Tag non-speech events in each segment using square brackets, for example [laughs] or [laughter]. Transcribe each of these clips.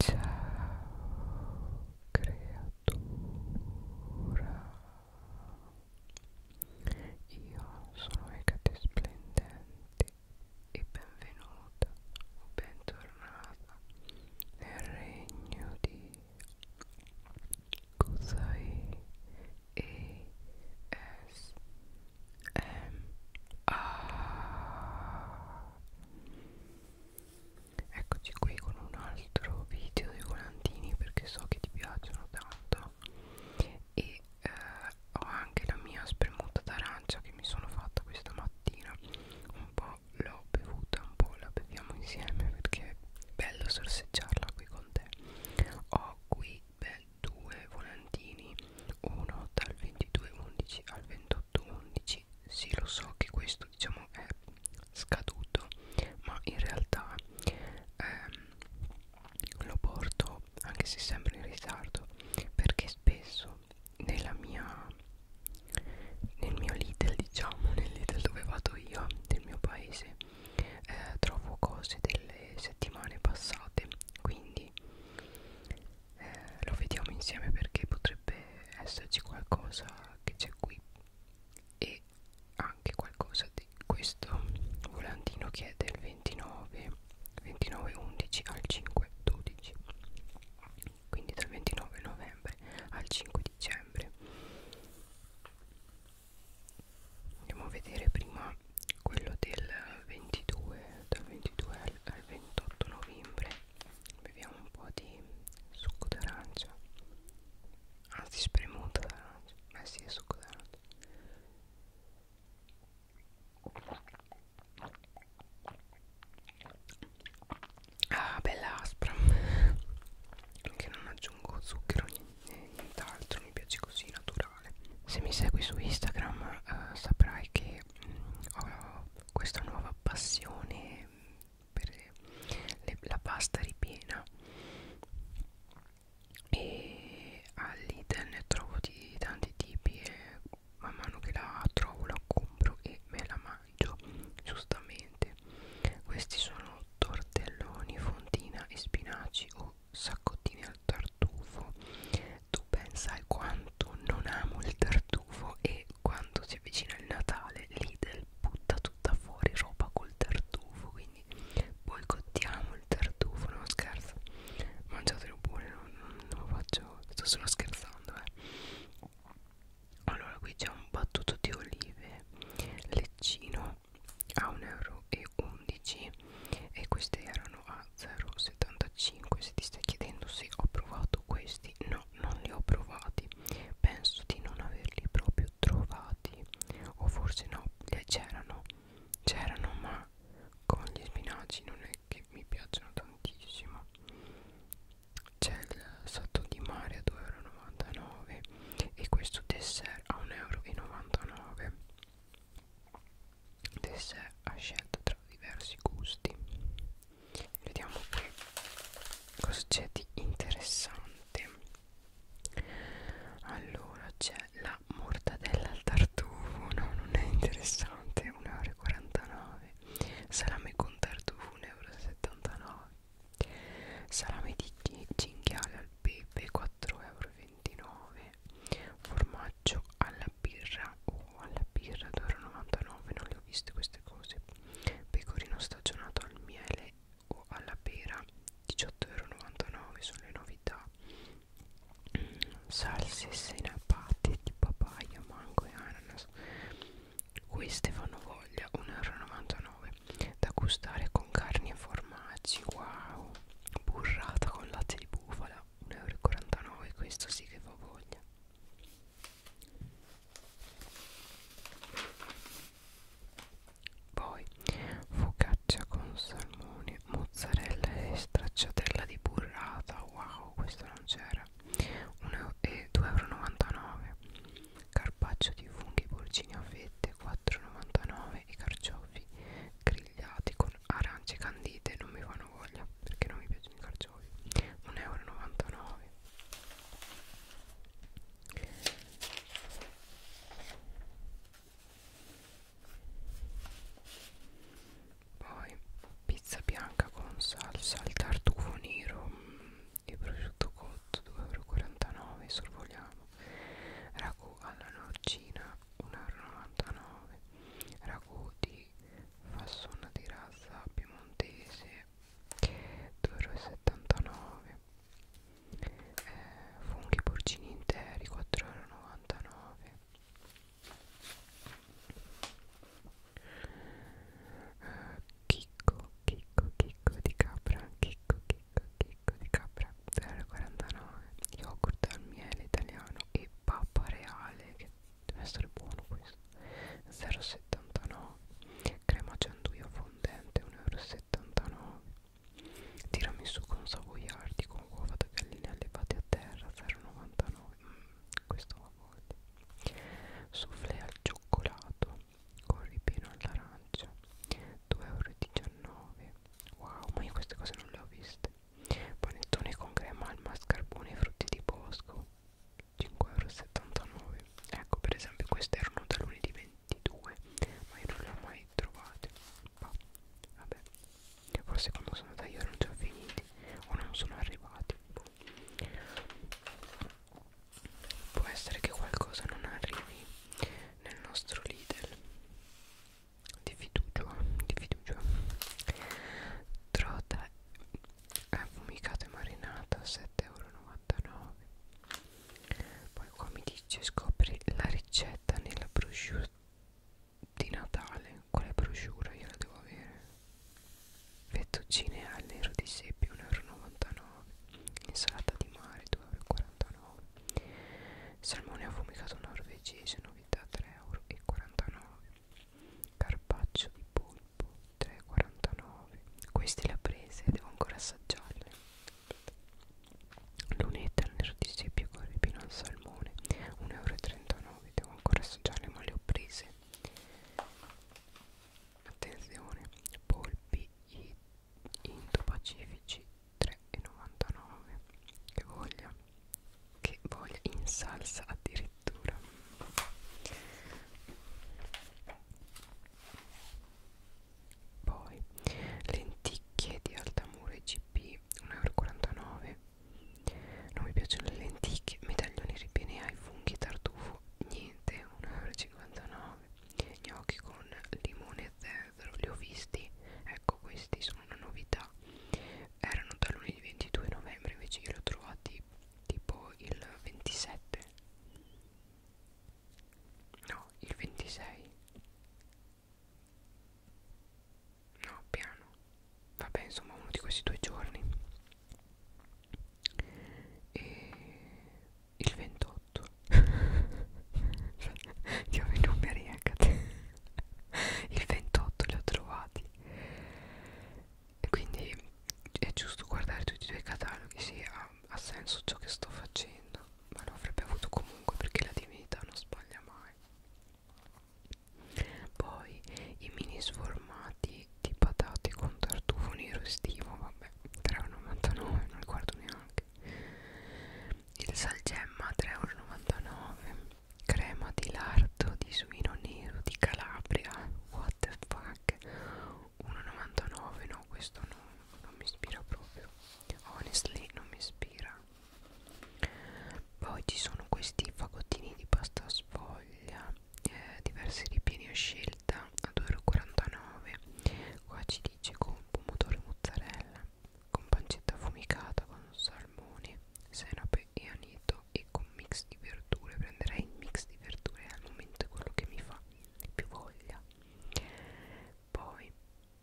Ciao creatura Io sono Ecate Splendente e benvenuta o bentornata nel regno di Kusai e S M A Eccoci qui con un altro video dei volantini perché so che ti piacciono tanto e eh, ho anche la mia spremuta d'arancia che mi sono fatta questa mattina un po' l'ho bevuta, un po' la beviamo insieme perché è bello sorseggiarla qui con te ho qui beh, due volantini uno dal 22.11 al 28.11 sì lo so che questo diciamo è scaduto ma in realtà ehm, lo porto anche se sempre in ritardo perché spesso nella mia nel mio Lidl diciamo nel Lidl dove vado io del mio paese eh, trovo cose delle settimane passate quindi eh, lo vediamo insieme perché potrebbe esserci qualcosa che c'è qui e anche qualcosa di questo volantino che è del 29 29 11 al 5 12 quindi dal 29 novembre al 5 dicembre andiamo a vedere prima quello del 22 dal 22 al, al 28 novembre beviamo un po' di succo d'arancia anzi spremuto d'arancia ma eh sì è succo d'arancia ah bella aspra che non aggiungo zucchero né nient'altro mi piace così naturale se mi segui su Instagram eh, saprai che che ho questa nuova passione per le, la pasta ripiena e all'Iden ne trovo di tanti tipi e man mano che la trovo la compro e me la mangio giustamente questi sono tortelloni fontina e spinaci o saccottini al tartufo tu pensa quanto non amo il tartufo e quando si avvicina il Natale Lidl butta tutta fuori roba col tartufo quindi boicottiamo il tartufo non scherzo mangiatelo pure non, non, non lo faccio sto solo scherzando eh allora qui c'è un battuto di olive leccino a 1,11 euro e queste erano a 0,75 se ti stai chiedendo se ho provato questi no non li ho provati penso di non averli proprio trovati o forse no eh, c'erano c'erano ma con gli spinaci non è che mi piacciono tantissimo c'è il salto di mare a 2,99 euro e questo dessert a 1,99 euro dessert a scelta tra diversi gusti vediamo qui cosa c'è di interessante allora c'è la mortadella al tartufo no non è interessante 1,49€ salame con tartufo 1,79€ salame di cinghiale al pepe 4,29€ formaggio alla birra 1,29 alla birra ad ora 99 non le ho viste queste cose pecorino stagionato al miele o alla pera 18,99€ sono le novità mm, salse senapate di papaya mango e ananas queste fanno voglia 1,99€ da gustare con carni e formaggi wow burrata con latte di bufala 1,49€ questo sì che fa voglia poi focaccia con salmone, mozzarella e stracciatella di burrata. Wow, questo non c'era. 2,99 euro. Carpaccio di funghi porcini a fette 4,99 e carciofi grigliati con arance candite non mi fanno voglia perché non mi piacciono i carciofi 1,99 euro poi pizza bianca con salsa al tartufo nero e mm, prosciutto cotto 2,49 euro sorvoliamo ragù alla norcina 1,99 euro ragù di fassona di razza piemontese 2,79 eh, funghi porcini interi 4,99 eh, chicco chicco chicco di capra chicco chicco chicco di capra 0,49 yogurt al miele italiano e pappa reale che deve essere buono questo 0,79 crema gianduia fondente 1,79 euro tiramisù con savoiardi con uova da gallina allevate a terra 0,99 mm, questo va volte soufflé al cioccolato con ripieno all'arancia 2,19 euro wow ma io queste cose non le ho viste panettone con crema al mascarpone e frutti di bosco 5,79€ ecco per esempio queste erano da lunedì 22 ma io non le ho mai trovate bah, vabbè forse quando sono andata io erano già finiti o non sono arrivati boh. può essere che qualcosa non arrivi nel nostro Lidl di fiducia di fiducia trota affumicata e marinata 7,99€ poi qua mi dice scopri la ricetta nella brochure di Natale quale brochure io la devo avere fettuccine al nero di seppia 1,99€ insalata di mare 2,49€ salmone affumicato norvegese novità 3,49€ Carpaccio di polpo 3,49 Queste le ho prese Devo ancora assaggiarle Lunetta al nerdi seppio con ripino al salmone 1,39 euro Devo ancora assaggiarle ma le ho prese Attenzione Polpi Indo-pacifici 3,99 Che voglia che voglia in salsa addirittura poi lenticchie di Altamure GP 1,49€ non mi piacciono le lenticchie medaglioni ripieni ai funghi tartufo niente 1,59€ gnocchi con limone e zenzero li ho visti ecco questi sono una novità erano da lunedì 22 novembre invece io li ho trovati tipo il 27 no il 26 no piano vabbè insomma uno di questi due giorni e il 28 [laughs] cioè, ti ho i numeri anche a te il 28 li ho trovati quindi è giusto guardare tutti e due i cataloghi sì ha, ha senso ciò che sto facendo ma lo avrebbe avuto comunque perché la divinità non sbaglia mai poi i mini sformati di patate con tartufo nero estivo vabbè 3,99 non li guardo neanche il salgemma 3,99 crema di lardo di suino nero di Calabria what the fuck 1,99 no questo no, non mi ispira proprio honestly non mi ispira poi ci sono questi fagottini di pasta sfoglia eh, diversi ripieni a scelta a 2,49 qua ci dice con pomodoro e mozzarella con pancetta affumicata con salmone senape e aneto e con mix di verdure prenderei il mix di verdure al momento è quello che mi fa più voglia poi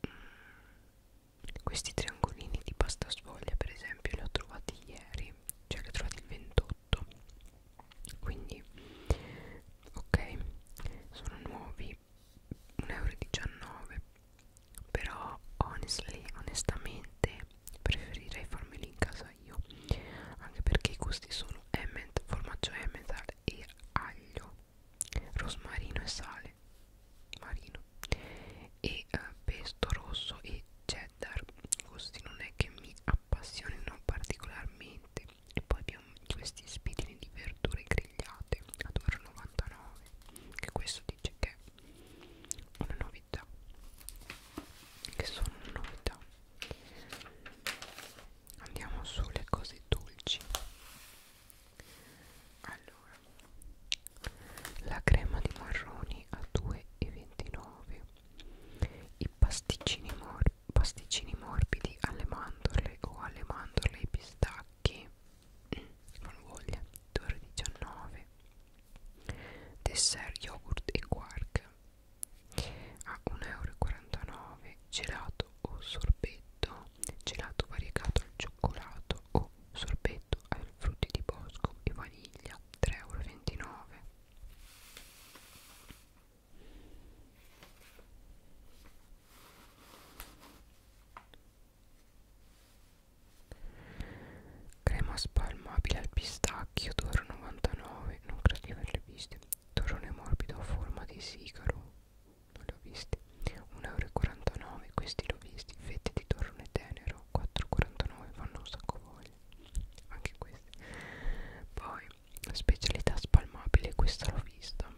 mh, mm, questi triangolini di pasta sfoglia per esempio li ho trovati ieri cioè li ho trovati il 28 quindi ok sono nuovi 1,19 euro però honestly onestamente preferirei farmeli in casa io anche perché i gusti sono emmental, formaggio emmental e aglio rosmarino e sale marino e eh, pesto rosso e cheddar gusti non è che mi appassionino particolarmente e poi abbiamo questi spitini di verdure grigliate a 2,99 che questo dice che una novità che sono una novità andiamo sulle cose dolci allora la crema di marroni a 2,29 i pasticcini, mor pasticcini morbidi alle mandorle o alle mandorle e pistacchi non [clears throat] voglia 2,19 dessert yogurt e quark a 1,49 euro gelato o sorbetto gelato variegato al cioccolato o sorbetto al frutti di bosco e vaniglia 3,29 euro crema spalmabile al pistacchio 2,99 euro non credo di averle viste torrone morbido a forma di sigaro non le ho viste 1,49 euro questi l'ho visti fette di torrone tenero 4,49 fanno un sacco voglia anche queste poi specialità spalmabile questa l'ho vista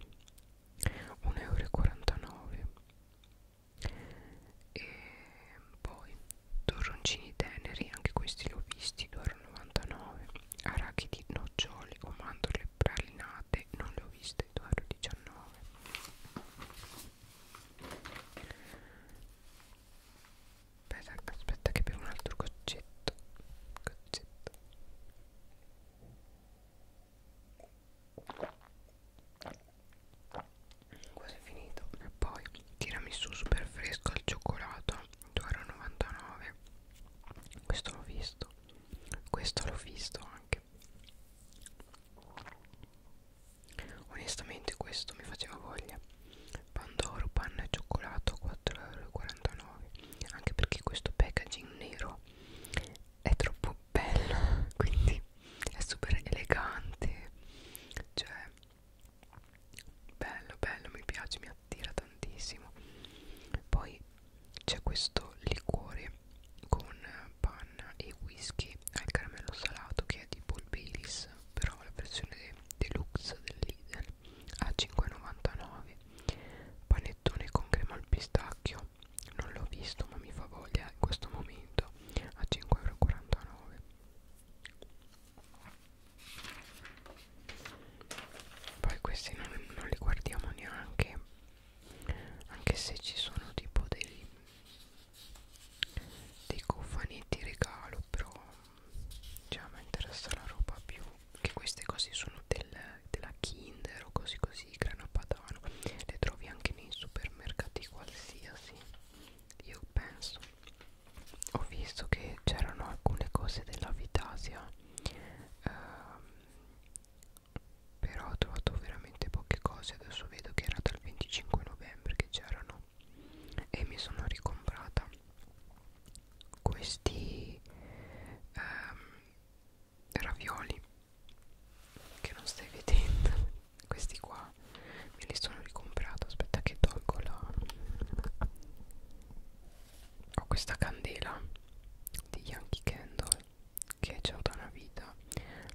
1,49 euro e poi torroncini teneri anche questi li ho visti 2,99 arachidi noccioli o mandorle pralinate non le ho viste 2,19 aspetta, aspetta che bevo un altro goccetto goccetto quasi finito e poi tiramisù super fresco al cioccolato 2,99 questo l'ho visto questo l'ho visto anche onestamente questo mi faceva voglia pandoro panna e cioccolato 4,49 anche perché questo packaging nero è troppo cappello quindi è super elegante cioè bello bello mi piace mi attira tantissimo poi c'è questo liquore con panna e whisky al caramello salato che è tipo il Baileys però la versione deluxe del Lidl a 5,99 panettone con crema al pistacchio non l'ho visto ma mi fa voglia in questo momento a 5,49 poi questi non, non li guardiamo neanche anche se ci sono tipo dei dei cofanetti regalo però cioè mi interessa la roba più che queste cose sono del, della Kinder o così così grana padano le trovi anche nei supermercati qualsiasi io penso ho visto che c'erano alcune cose della Vitasia ehm, però ho trovato veramente poche cose adesso vedo che era dal 25 novembre che c'erano e mi sono ricomprata questi ehm, ravioli che non stai vedendo questi qua me li sono ricomprato aspetta che tolgo la ho questa candela di Yankee Candle che c'ho da una vita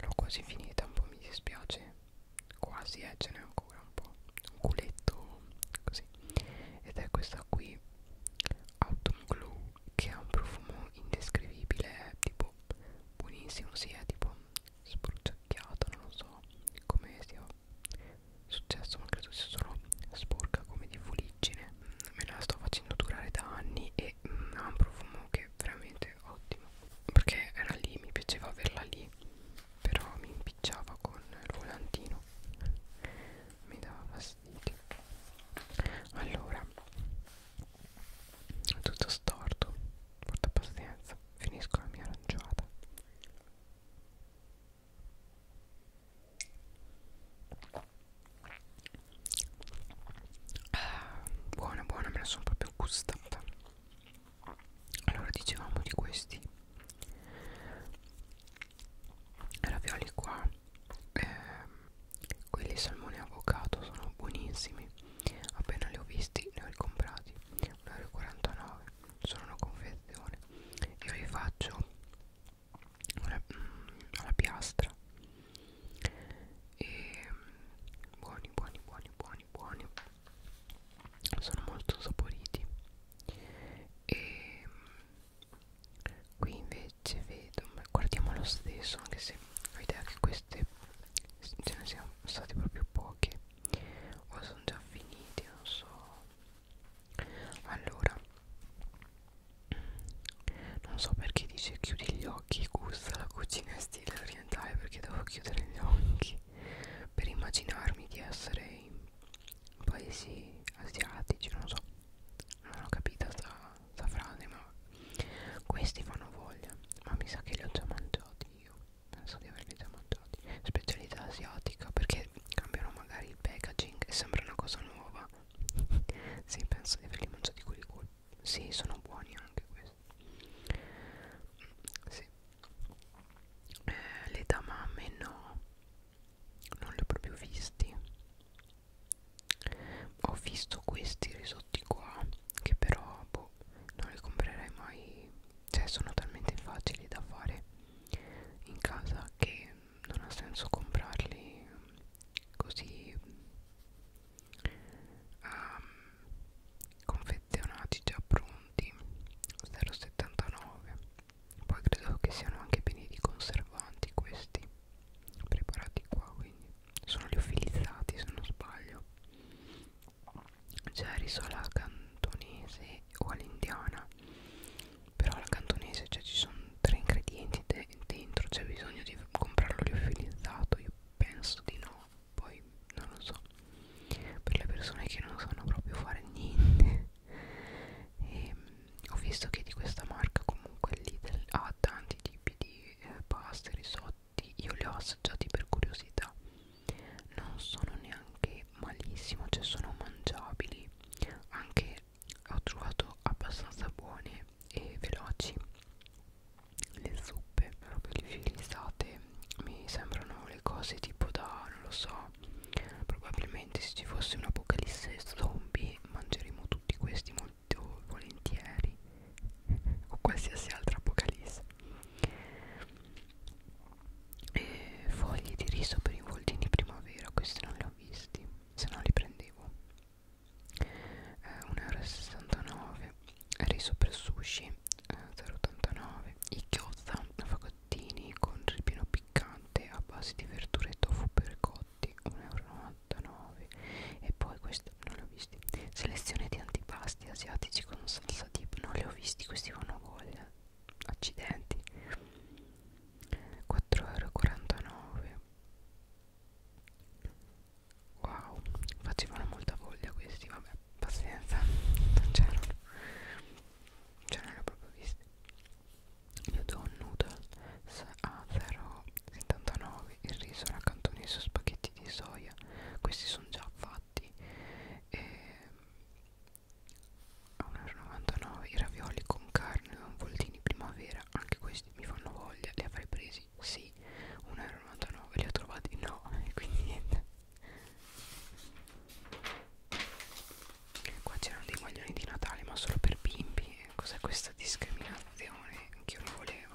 l'ho quasi finita un po' mi dispiace quasi eh, ce n'è ancora un po' un culetto così ed è questa qui Autumn Glow che ha un profumo indescrivibile è eh, tipo buonissimo si sì, è eh, tipo sprucciacchiata non lo so come sia successo ma credo sia solo sporca come di fuliggine me la sto facendo durare da anni e mm, ha un profumo che è veramente ottimo perché era lì mi piaceva averla lì però mi impicciava con il volantino mi dava fastidio allora tutto storto porta pazienza finisco la mia aranciata ah, buona buona me la sono proprio gustata allora dicevamo di questi ravioli qua eh, quelli salmone avocado sono buonissimi Appena li ho visti ne ho ricomprati 1,49 euro Sono una confezione Io li faccio alla, mm, alla piastra e buoni buoni buoni buoni buoni sono molto saporiti e qui invece vedo ma guardiamo lo stesso anche se ho idea che queste ce ne siano sono stati proprio pochi o sono già finiti non so allora non so perché dice chiudi gli occhi gusta la cucina in stile orientale perché devo chiudere gli occhi per immaginarmi di essere in paesi asiatici non so non ho capito sta, sta frase ma questi fanno voglia, ma mi sa che li ho già mangiati io. Penso di averli già mangiati. Specialità asiatica perché cambiano magari il packaging e sembra una cosa nuova. [laughs] sì, penso di averli mangiati quelli qua. Sì, sono buoni anche questi. Mm, sì. Eh, le tamame no. Non li ho proprio visti. Ho visto questi risotti qua che però boh, non le comprerei mai cioè sono talmente facili da fare in casa che non ha senso comprarli così um, confezionati già pronti 0,79 poi credo che siano anche pieni di conservanti questi preparati qua quindi sono gli offilizzati se non sbaglio c'è risola cantonese o all'indiana però alla cantonese cioè ci sono tre ingredienti de dentro c'è bisogno di comprarlo liofilizzato io penso di no poi non lo so per le persone che non sanno proprio fare niente [laughs] e, ehm, ho visto che di questa marca comunque Lidl ha tanti tipi di eh, pasta risotto tutti io li ho assaggiati per curiosità non sono neanche malissimo cioè sono mangiabili anche ho trovato abbastanza buone e veloci le zuppe proprio liofilizzate mi sembrano le cose tipo da non lo so probabilmente se ci fosse un'apocalisse zombie mangeremo tutti questi molto molto volentieri [laughs] o qualsiasi altra apocalisse e foglie di riso per i voltini primavera questi non li ho visti se no li prendevo eh, 1,69€ riso per sushi eh, 0,89 i gyoza fagottini con ripieno piccante a base di verdure e tofu per cotti 1,99€ 89 e poi questo non li ho visti selezione di antipasti asiatici con salsa dip non li ho visti questi vanno a voglia accidenti 4,49 wow facevano molta voglia questi vabbè pazienza non c'erano cioè, non c'erano proprio visti io do un noodle a 0 79 il riso raccantonese spaghetti di soia questi sono già fatti e 1,99 i ravioli con carne o voltini primavera anche questi mi fanno voglia li avrei presi sì 1,99 li ho trovati no [laughs] e quindi niente qua c'erano dei maglioni di Natale ma solo per bimbi cos'è questa discriminazione che io non volevo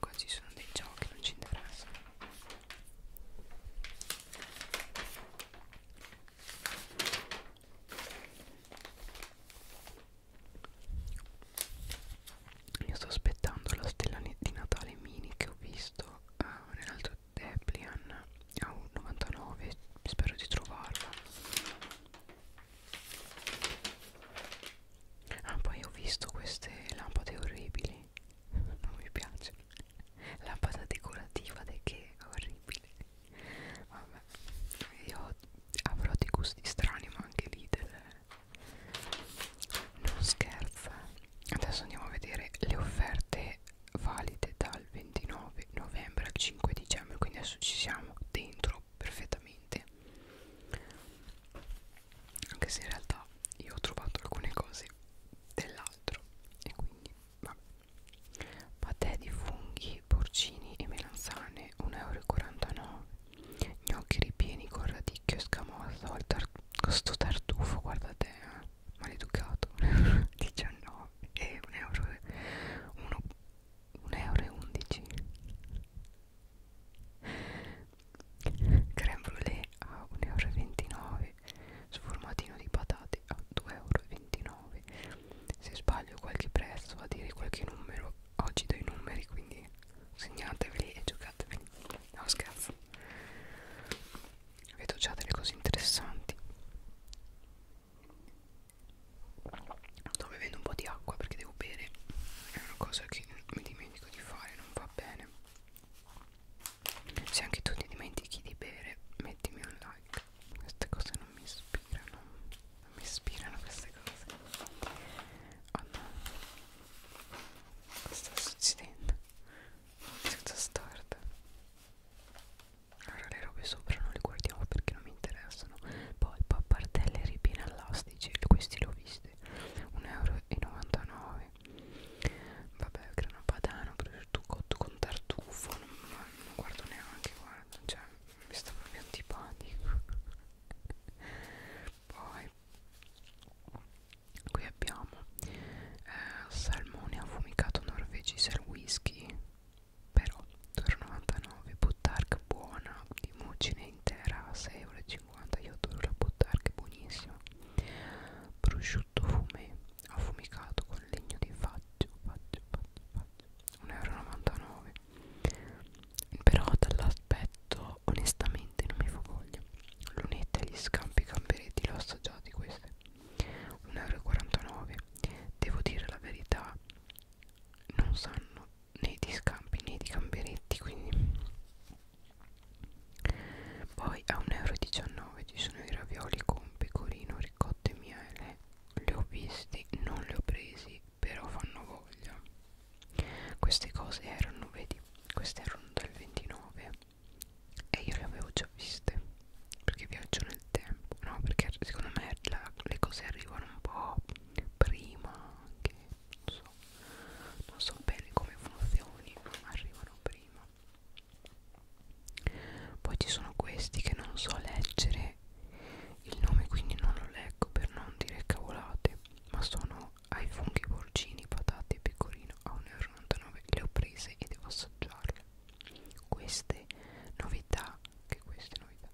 qua ci sono dei giochi non ci interessano io sto aspettando la stella di Natale mini che ho visto uh, nell'altro Deplian a 1,99 spero di trovarla Ah, poi ho visto queste lampade orribili. [laughs] Non mi piace. Lampada decorativa di che orribile. Vabbè, io avrò dei gusti strani, ma anche lì del... Non scherza. Adesso andiamo a vedere le offerte valide dal 29 novembre al 5 dicembre. Quindi adesso ci siamo dentro perfettamente anche se in realtà io ho trovato alcune cose dell'altro e quindi vabbè patè di funghi, porcini e melanzane 1,49 euro gnocchi ripieni con radicchio e scamoso tar sto tartufo guarda te eh? maleducato 19 [laughs] eh, e 1 euro 1,11 euro creme brulee a 1,29 euro sformatino di patate a 2,29 euro se sbaglio qualche prezzo a dire qualche numero oggi do i numeri quindi segnateveli e giocateveli no scherzo vedo già delle cose interessanti Sto bevendo un po' di acqua perché devo bere È una cosa che mi dimentico di fare Non va bene Se anche tu ti dimentichi di bere Mettimi un like Queste cose non mi ispirano Non mi ispirano queste cose Oh no Cosa sta succedendo? Cosa storta allora le robe sopra non le guardiamo perché non mi interessano. Poi pappardelle ripiene all'asta dice questi l'ho visti 1,99 euro vabbè grano padano prosciutto cotto con tartufo non, non guardo neanche guarda cioè mi sta proprio antipatico poi qui abbiamo eh, salmone affumicato norvegese al whisky però 2,99 buttarga buona di mucine intera a 6,50 euro io adoro la buttarga, è buonissima prosciutto fumé affumicato con legno di faggio faggio faggio faggio 1,99 euro però dall'aspetto onestamente non mi fa voglia lunette gli scampi gamberetti l'ho assaggiati queste 1,49 euro devo dire la verità non sanno né di scampi né di gamberetti quindi poi a 1,19 euro ci sono i ravioli con pecorino, ricotta e miele li ho visti, non li ho presi però fanno voglia queste cose erano, vedi, queste erano dal 29 e io le avevo già viste perché viaggio nel tempo no perché secondo me la, le cose arrivano un po' prima che non so, non so bene come funzioni, arrivano prima. Poi ci sono questi che non so leggere il nome, quindi non lo leggo per non dire cavolate, ma sono ai funghi porcini, patate e pecorino a 1,99 euro. Le ho prese e devo assaggiarle. Queste novità, che queste novità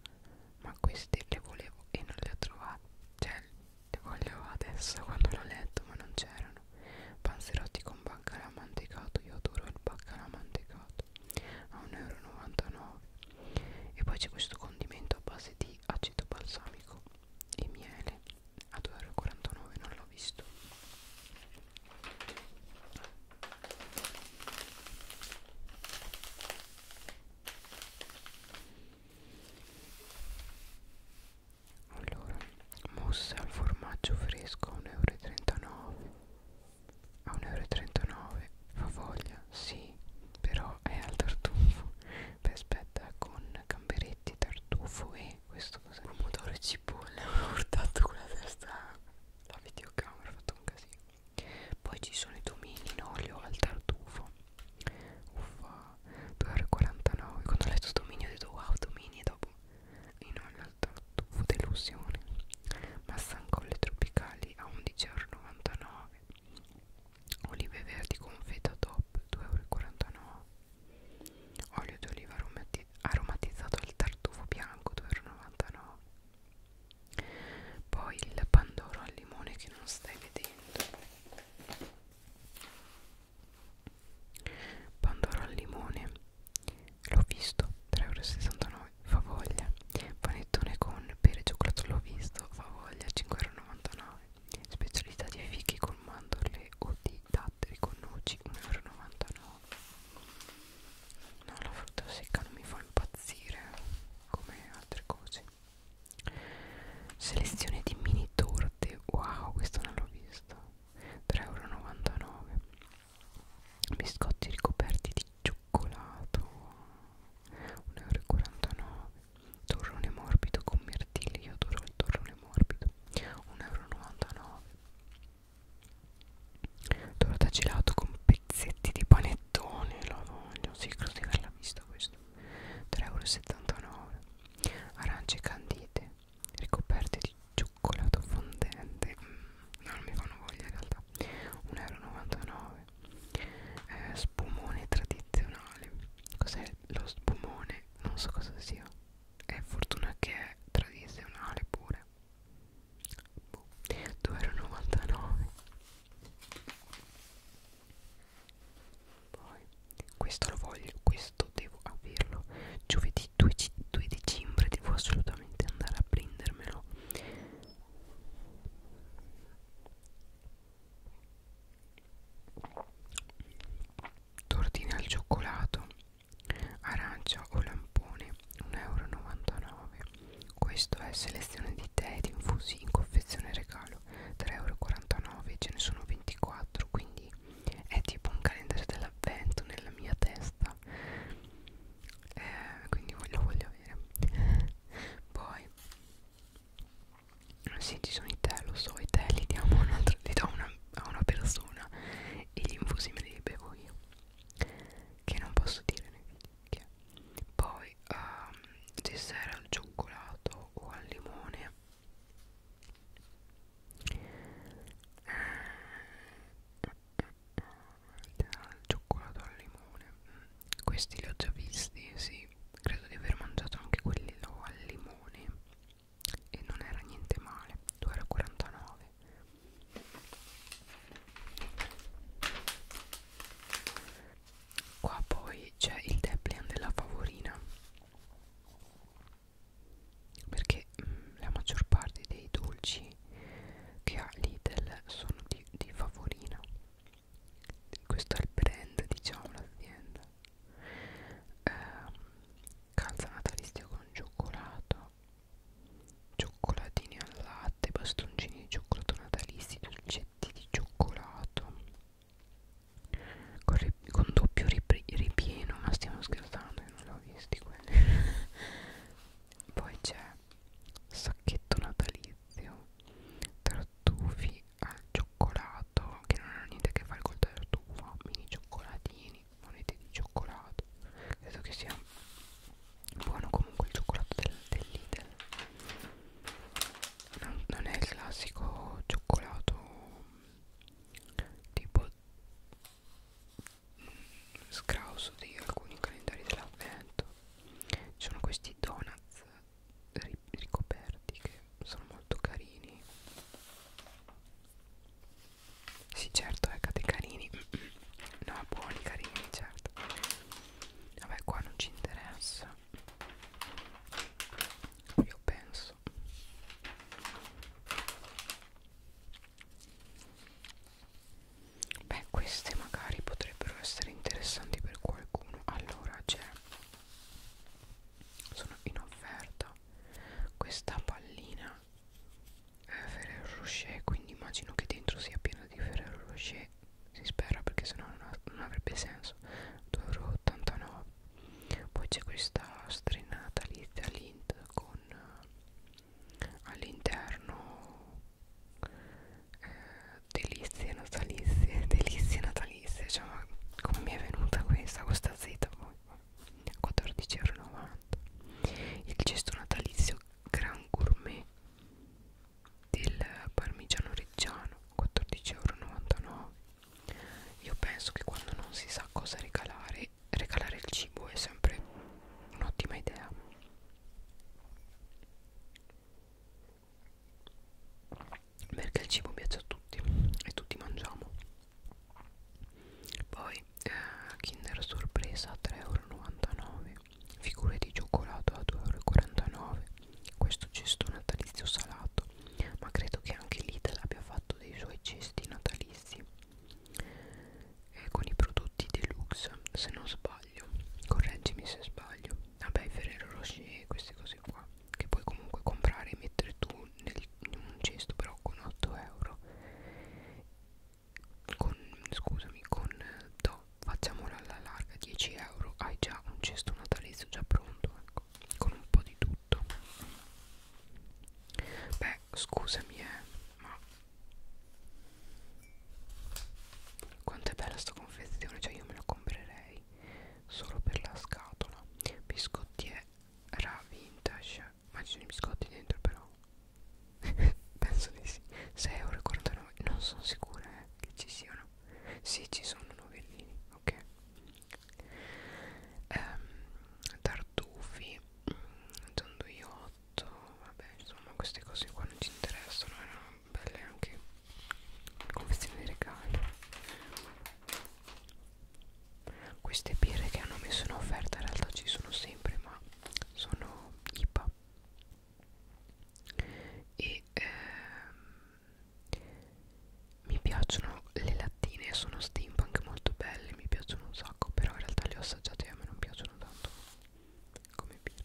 ma queste le volevo e non le ho trovate cioè le voglio adesso quando l'ho letto ma non c'erano panzerotti con baccalà mantecato io adoro il baccalà mantecato a 1,99 euro e poi c'è questo condimento a base di aceto balsamico e miele a 2,49 euro non l'ho visto allora mosse al formaggio fresco a 1,39 euro a 1,39 euro fa voglia sì però è al tartufo beh aspetta con gamberetti tartufo e questo cos'è pomodoro e cipolla [laughs] ho urtato con la testa la videocamera ho fatto un casino poi ci sono i domini in olio al tartufo uffa 2,49 quando ho letto dominio ho detto wow domini e dopo in olio al tartufo delusione massancolle tropicali a 11,99 olive verdi confetta top 2,49 olio d'oliva aromati aromatizzato al tartufo bianco 2,99 poi il pandoro al limone che non stai vedendo pandoro al limone l'ho visto 3,69 euro favoglia panettone con pere e cioccolato l'ho visto favoglia 5,99 euro specialità di fichi con mandorle o di datteri con noci 1,99 euro no la frutta secca non mi fa impazzire come altre cose selezione di mini torte wow questo non l'ho visto 3,99€ biscotti ricoperti di cioccolato 1,49€ torrone morbido con mirtilli io adoro il torrone morbido 1,99€ torta gelato con pezzetti di panettone lo voglio sì credo di averla vista questo 3,79 euro arance candite ricoperte di cioccolato fondente mm, no, non mi fanno voglia in realtà 1,99 euro eh, spumone tradizionale cos'è lo spumone non so cosa sia è fortuna che è tradizionale pure boh. 2,99 euro poi, questo lo voglio, questo devo averlo. Giovedì 2, 2 dicembre devo assolutamente andare a prendermelo. Tortine al cioccolato, arancia o lampone, 1,99 euro. Questo è selezione di tè ed infusi in confezione regalo 3,49€ ce ne sono 24 quindi è tipo un calendario dell'avvento nella mia testa eh, quindi lo voglio avere [laughs] poi sì ci sono i tè lo so i tè li diamo un altro, li do una, a una persona e gli infusi me li bevo io che non posso dire nei video orecchie poi um, ehm, dessert al cioccolato o al limone al eh, cioccolato al limone mm, questi li ho già visti sì credo di aver mangiato anche quello al limone e non era niente male 2,49 qua poi c'è il Deplian della favorina perché mh, mm, la maggior parte dei dolci che ha Lidl sono di, di favorina questo è il brand diciamo l'azienda eh, calza natalizia con cioccolato cioccolatini al latte bastoncini di cioccolato natalizi dolci pezzetti di cioccolato con, con doppio rip ripieno ma stiamo scherzando io non l'ho visti quelli [laughs] poi c'è sacchetto natalizio tartufi al cioccolato che non hanno niente a che fare col tartufo mini cioccolatini monete di cioccolato credo che sia buono comunque il cioccolato del, del Lidl non, non è il classico cioccolato tipo scrauso di alcuni calendari dell'avvento ci sono questi donuts ricoperti che sono molto carini sì certo, eccate eh, carini [clears throat] no, buoni carini, certo vabbè qua non ci interessa io penso beh queste magari potrebbero essere interessanti per qualcuno allora c'è sono in offerta questa pallina eh, Ferrero Rocher quindi immagino che dentro sia piena di Ferrero Rocher si spera perché sennò non, ha, non avrebbe senso 2,89 euro poi c'è questa strinata lista lint con eh, all'interno eh, delizie natalizie [laughs] delizie natalizie cioè ma come mi è venuta questa questa zeta poi 14,90 euro il cesto natalizio gran gourmet del parmigiano reggiano 14,99€ io penso che quando non si sa cosa regalare regalare il cibo è sempre un'ottima idea perché il cibo piace a tutti e tutti mangiamo poi eh, Kinder Sorpresa 3,99€ figure di cioccolato a 2,49 euro questo cesto natalizio salato ma credo che anche Lidl abbia fatto dei suoi cesti natalizi e con i prodotti deluxe se non sbaglio correggimi se sbaglio vabbè i Ferrero Rocher queste cose qua che puoi comunque comprare e mettere tu nel, in un cesto però con 8 euro con, scusami con 12,99 eh, euro facciamola alla larga 10 euro hai già un cesto natalizio già pronto ecco, con un po' di tutto beh scusami eh ma quanto è bella sta confezione cioè io me la comprerei solo per la scatola biscottiera vintage ma ci sono i biscotti dentro però [laughs] penso di sì 6,49 euro non sono sicura eh, che ci siano sì ci sono novellini ok ehm, tartufi donduiotto mm, vabbè insomma queste cose qua non ci interessano erano belle anche confezioni di regalo queste birre che hanno messo in offerta in realtà ci sono sempre ma sono IPA e ehm, mi piacciono le lattine sono steampunk molto belle mi piacciono un sacco però in realtà le ho assaggiate e a me non piacciono tanto come birra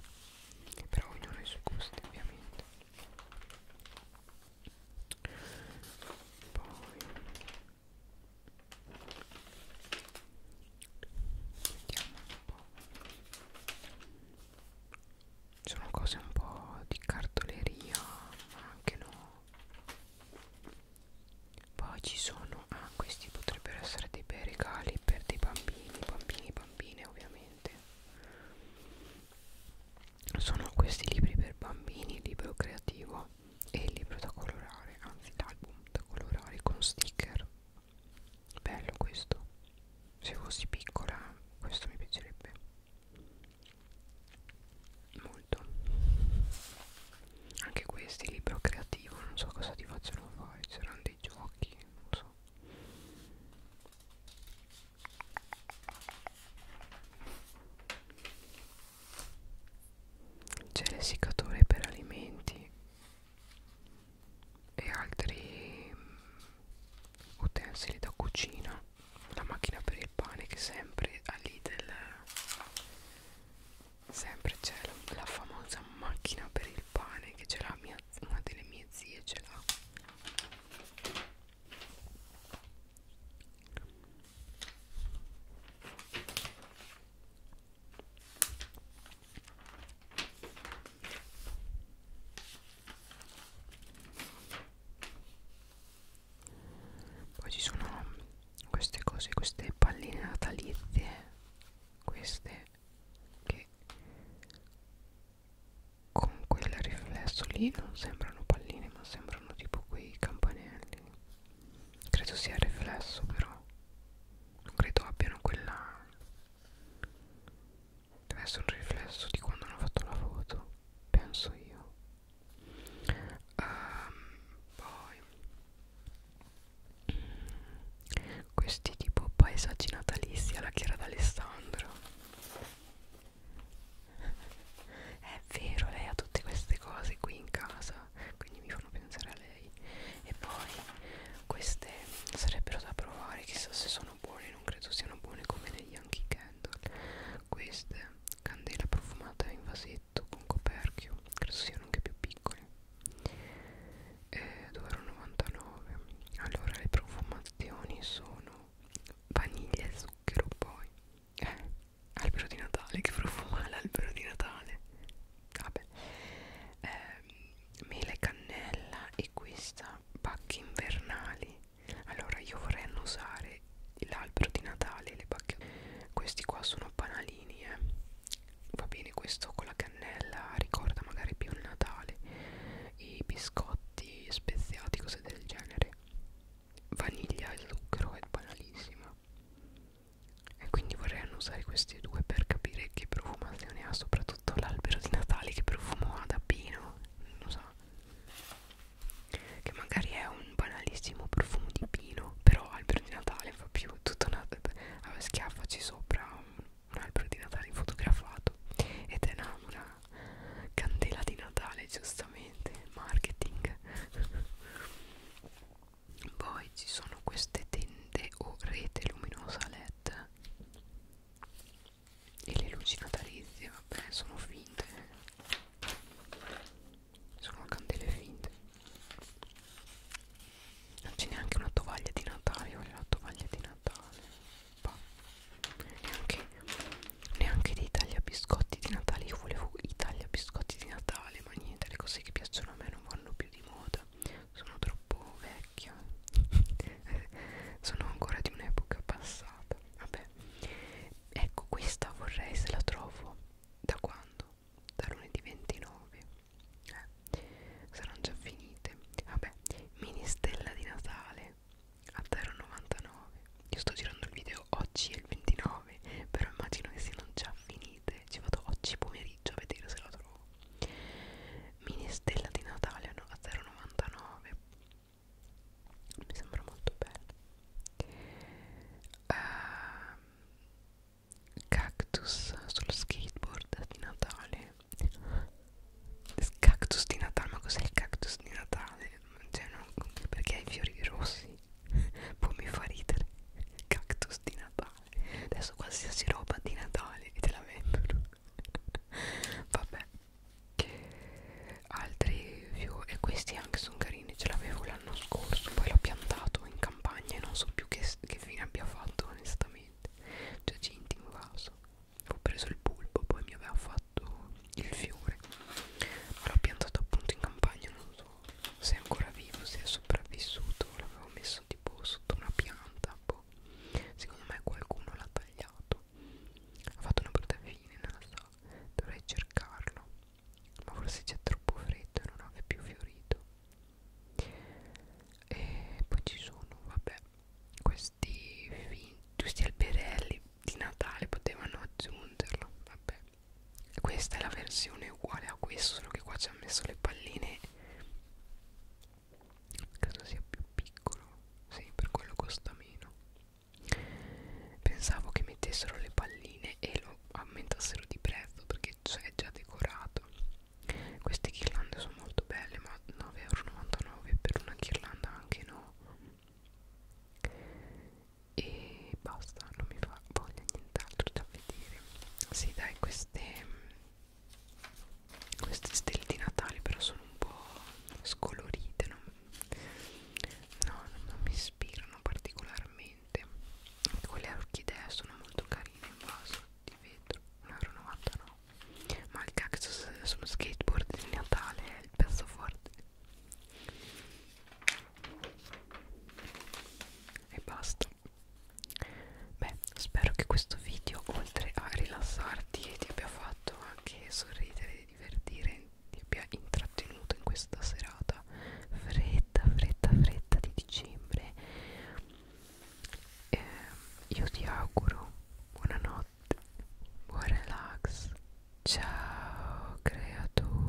però ognuno ha i suoi gusti ovviamente poi vediamo un po' sono cose un po' di cartoleria ma anche no poi ci sono ah questi potrebbero essere dei bei regali per dei bambini bambini bambine ovviamente sono questi libri per bambini il libro creativo e il libro da colorare anzi l'album da colorare con sticker bello questo se fossi piccola questo mi piacerebbe molto anche questi libro creativo non so cosa ti facciano fare c'erano dei giochi non so c'è l'essiccatore per alimenti e altri mm, utensili da cucina la macchina per il pane che sempre a Lidl sempre c'è la, la famosa macchina per il pane che ce l'ha una delle mie zie ce l'ha poi ci sono queste cose, queste palline natalizie, queste che con quel riflesso lì non sembrano palline ma sembrano tipo quei campanelli. Credo sia il riflesso però, non credo abbiano quella deve essere un riflesso di quando hanno fatto la foto penso io um, poi questi tipo paesaggi natalizi alla Chiara d'Alessandro è vero lei ha tutte queste cose qui in casa quindi mi fanno pensare a lei 6 e poi queste sarebbero da provare chissà se sono buone non credo siano buone come le Yankee Candle queste candela profumata in vasetto con coperchio credo siano anche più piccole eh, 2,99 allora le profumazioni sono vaniglia e zucchero poi eh, albero di natale che profuma l'albero di natale vabbè eh, mele cannella e questa pacche invernali allora io vorrei annusare l'albero di Natale le pacche questi qua sono banalini eh. va bene questo con la cannella ricorda magari più il Natale i biscotti speziati cose del genere vaniglia e zucchero è banalissima e quindi vorrei annusare questi due per capire che profumazione ha soprattutto tutto l'albero di Natale che profumo ha da pino non lo so che magari è un banalissimo profumo di pino però albero di Natale fa più tutto schiaffaci sopra un, un albero di Natale fotografato ed è una, una candela di Natale giustamente marketing [laughs] poi ci sono queste tende o rete luminosa LED LED e le luci natalizie vabbè sono finte sono candele finte non c'è neanche una tovaglia di Natale voglio la tovaglia di Natale bah. neanche neanche dei tagliabiscotti di Natale io volevo i tagliabiscotti di Natale ma niente le cose che piacciono a me non vanno più di moda eccetera sono troppo vecchia [laughs] sono ancora di un'epoca passata vabbè ecco questa vorrei se la trovo da quando? da lunedì 29 eh, saranno già finite vabbè mini stella di Natale a 0,99 io sto girando il video oggi è il 29 però immagino che siano già finite ci vado oggi pomeriggio pomeriggio a vedere se la trovo mini stella di Natale no? a 0,99 mi sembra molto bello uh, cactus sullo skateboard di Natale cactus di Natale ma cos'è il cactus di Natale? Cioè, non, perché ha i fiori rossi [laughs] può mi fa ridere cactus di Natale adesso qualsiasi roba di Natale e te la vendono [laughs] vabbè altri view e questi anche sono carini ce l'avevo l'anno scorso poi l'ho piantato in campagna e non so più che, che fine abbia fatto onestamente cioè cinti in vaso ho preso il pulpo poi mi aveva fatto il fiore ma l'ho piantato appunto in campagna non so se è ancora vivo se è sopravvissuto l'avevo messo tipo sotto una pianta capo secondo me qualcuno l'ha tagliato ha fatto una brutta fine non lo so dovrei cercarlo ma forse c'è troppo freddo e non ha più fiorito e poi ci sono vabbè questi questi alberelli di Natale potevano aggiungerlo vabbè questa è la versione uguale a questo solo che qua ci ha messo le palline Caso sia più piccolo, sì, per quello costa meno. Pensavo che mettessero le palline e lo aumentassero di prezzo perché cioè, è già decorato. Queste ghirlande sono molto belle, ma 9,99€ per una ghirlanda anche no. E basta, non mi fa voglia nient'altro da vedere. Sì, dai, queste queste stelle di Natale però sono un po' scolorite non, no, non, non mi ispirano particolarmente quelle orchidee sono molto carine in vaso di vetro 1,99 euro ma il cactus sono skateboard di Natale è il pezzo forte e basta Beh, spero che questo video, oltre a rilassarti e ti abbia fatto anche sorridere e divertire, ti abbia intrattenuto in questa serata fredda, fredda, fredda di dicembre. Eh, io ti auguro buonanotte, buon relax. Ciao creatura.